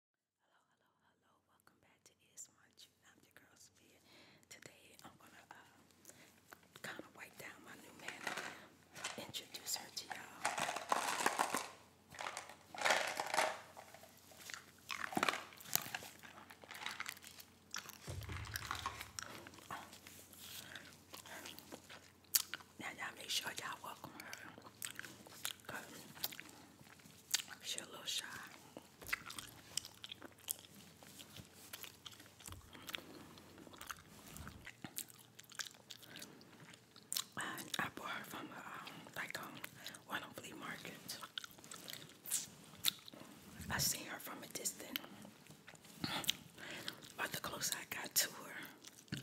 Hello, hello, hello. Welcome back to Is One I'm your girl Sophia. Today I'm gonna uh, kind of wipe down my new man introduce her to y'all. Now you make sure y'all welcome her. She a little shy. I, I bought her from a, uh, like um, one of flea markets. I seen her from a distance, but the closer I got to her,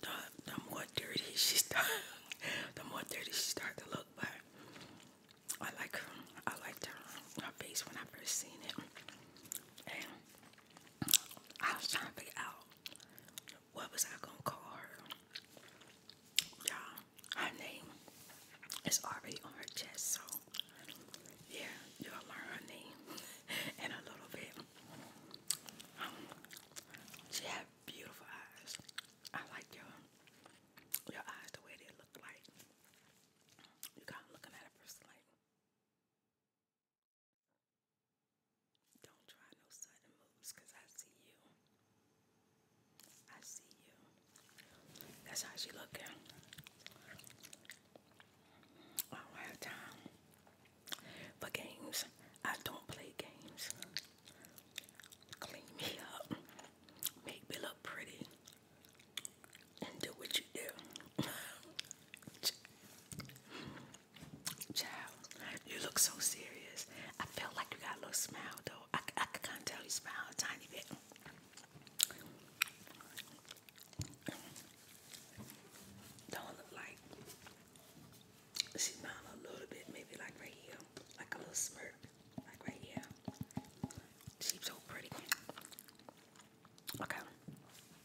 the, the more dirty she start, the more dirty she start to look. But I like her. I liked her, her face when I first seen it, and I was trying to figure out what was I gonna call her. Yeah, her name is already on her chest, so yeah, you'll learn her name in a little bit. Um, she had beautiful eyes. I like your your eyes the way they look like. You kind looking at a person don't try no sudden moves, cause I see you. I see you. That's how she looking. I don't have time for games. I don't play games. Clean me up. Make me look pretty. And do what you do. Child, you look so serious. I feel like you got a little smile though. I, I can kind of tell you smile a tiny bit. Don't look like she smiled a little bit, maybe like right here, like a little smirk, like right here. She's so pretty. Okay.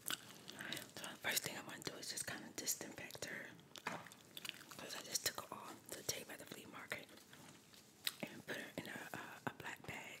So the first thing I want to do is just kind of disinfect her, cause I just took off the tape at the flea market and put her in a, a black bag.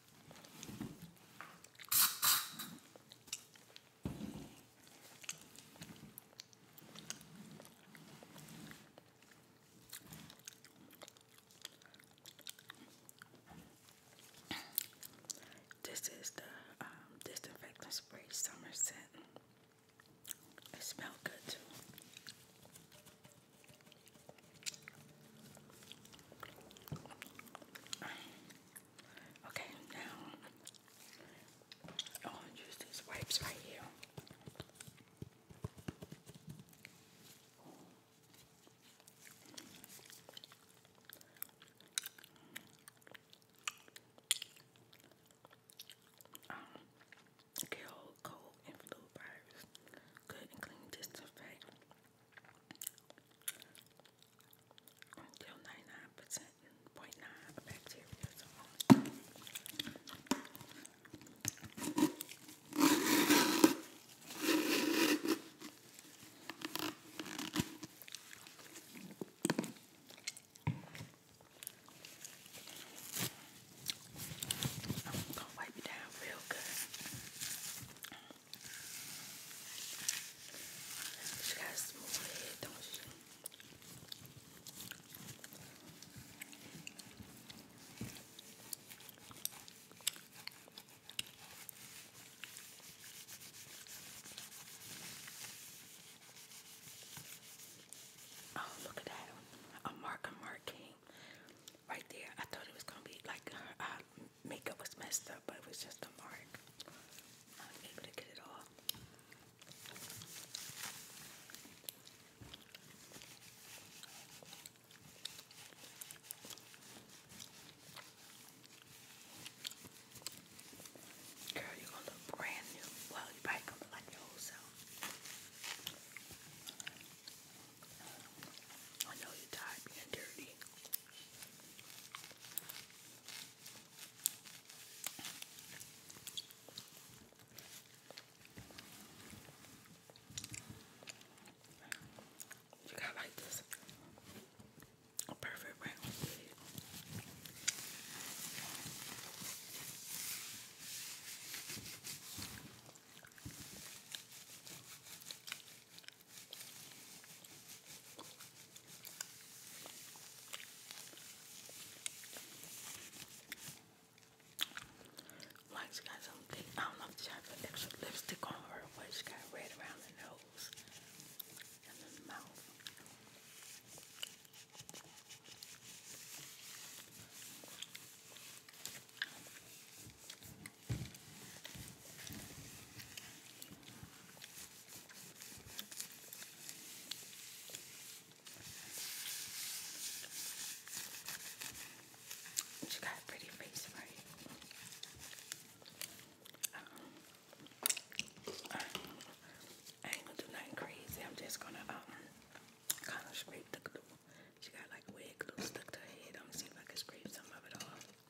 This is the um, disinfectant spray summer scent. It smells good too. Okay, now I'm use these wipes right here. Um, cold and flu virus. Good and clean disinfect until 99.9 .9 bacteria is on. I'm gonna wipe it down real good. She got a smooth head, don't she? Oh, look at that. A mark, marking. Right there. I thought it was going to be like her uh, makeup was messed up, but it was just a mark. I was able to get it off. Girl, you're gonna look brand new. Well, you probably gonna look like your old self. I know you're being dirty. You got like this a perfect round. Like she got something, I don't know if she had an extra lipstick on her, but she got red around the nose and the mouth. She got a pretty face, right? Uh, I ain't gonna do nothing crazy. I'm just gonna um kind of scrape the glue. She got like wig glue stuck to her head. I'm gonna see if I can scrape some of it off. Oh,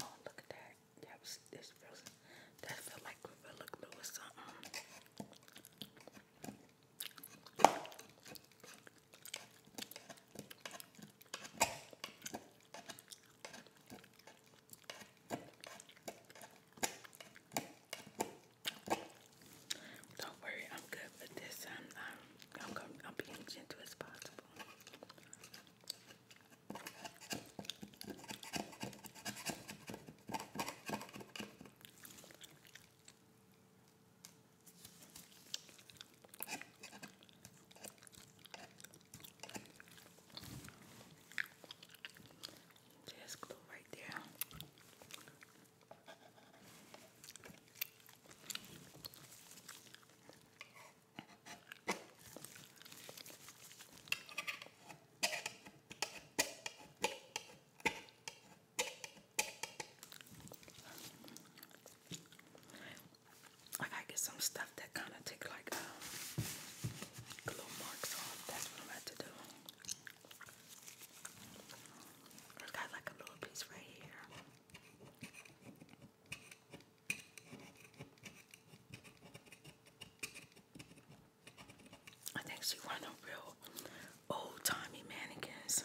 look at that. That was this feels that felt like Gorilla Glue or something. Don't worry, I'm good with this. I'm I'm I'm, I'm being gentle as possible. There's glue right there. I gotta get some stuff that kind of take like um, marks off. That's what I'm about to do. I got like a little piece right here. I think she one of real old timey mannequins.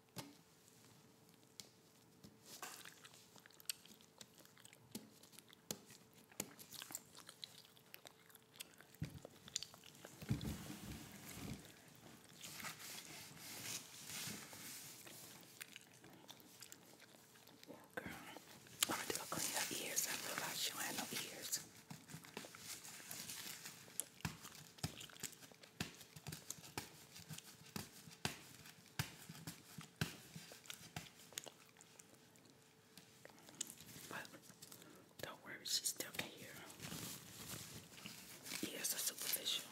Girl, I'm gonna clean up ears. I realize she don't have no ears. But don't worry, she's still here. hear. Ears superficial.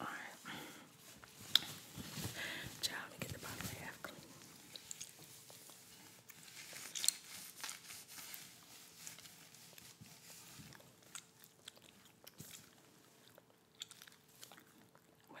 All right. Child, let me get the bottom half clean. Well,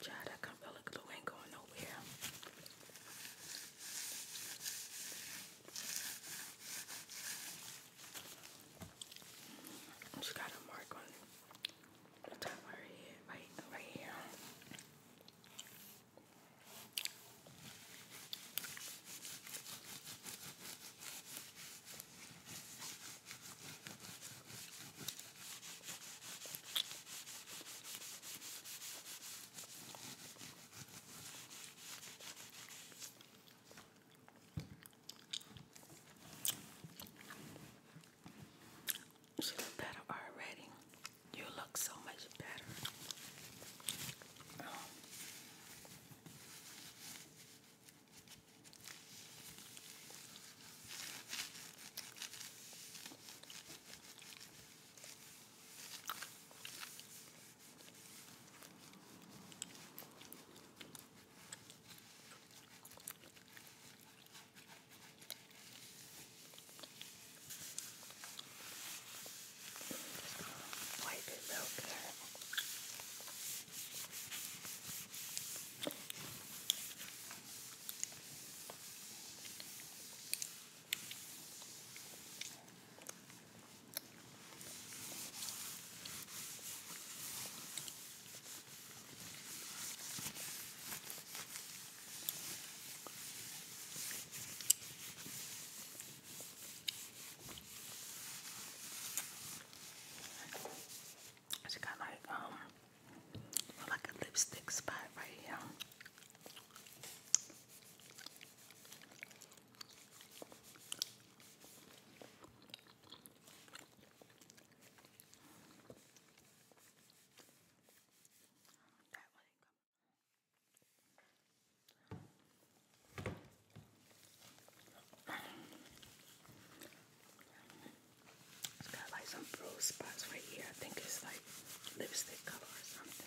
Child, that Camilla glue ain't going nowhere. I just got a mark on the top of her head, right, right here. You look better already. You look so much better. White is real good. She got like um like a lipstick spot right here. It's got like some bruise spots right here. I think it's like lipstick color or something.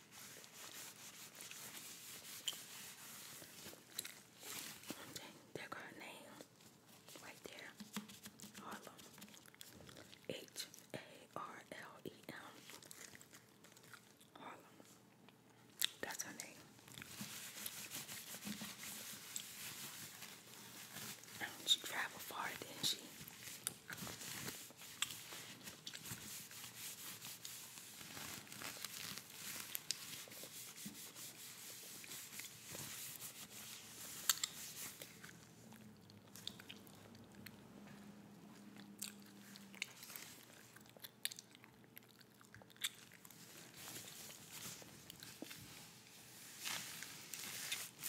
Okay, there got name right there. Harlem. H A R L E M. Harlem. That's her name. she traveled far, didn't she?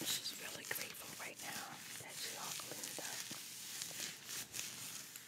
She's really grateful right now that she all cleaned up.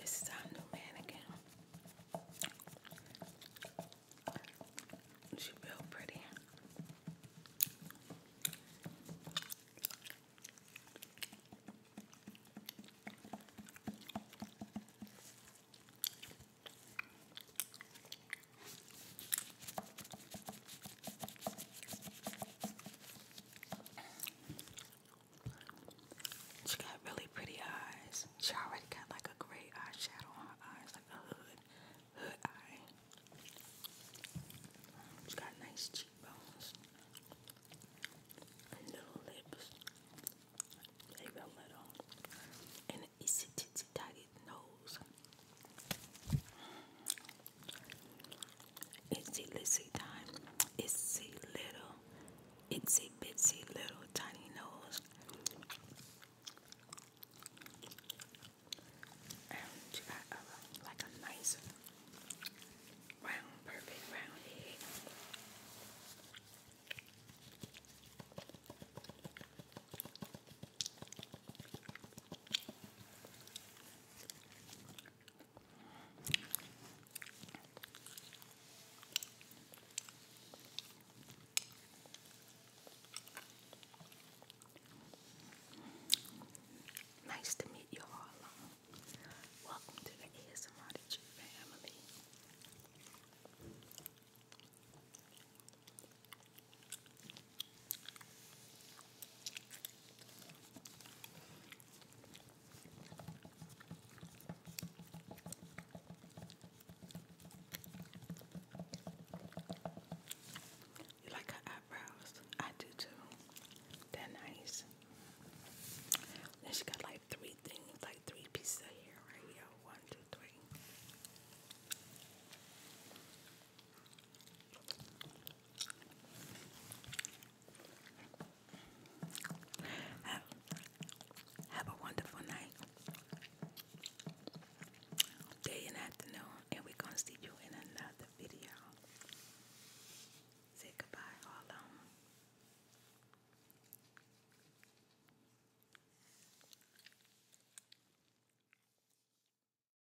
This is our new mannequin. She real pretty. She got really pretty eyes. She already got like a gray eyeshadow on her eyes, like a hood, hood eye. She got nice cheekbones little lips. Maybe a little. And an easy titsy tiny nose. Itsy litsy time. Itsy little. Itsy bitsy little tiny nose. And you got uh, like a nice round, perfect round head. Nice to meet you all. Welcome to the ASMR Tree family. You like her eyebrows? I do too. They're nice. And she got like three things, like three pieces of hair right here. One, two, three. Have, a wonderful night, day and afternoon, and we gonna see you in another video. Say goodbye, all of them.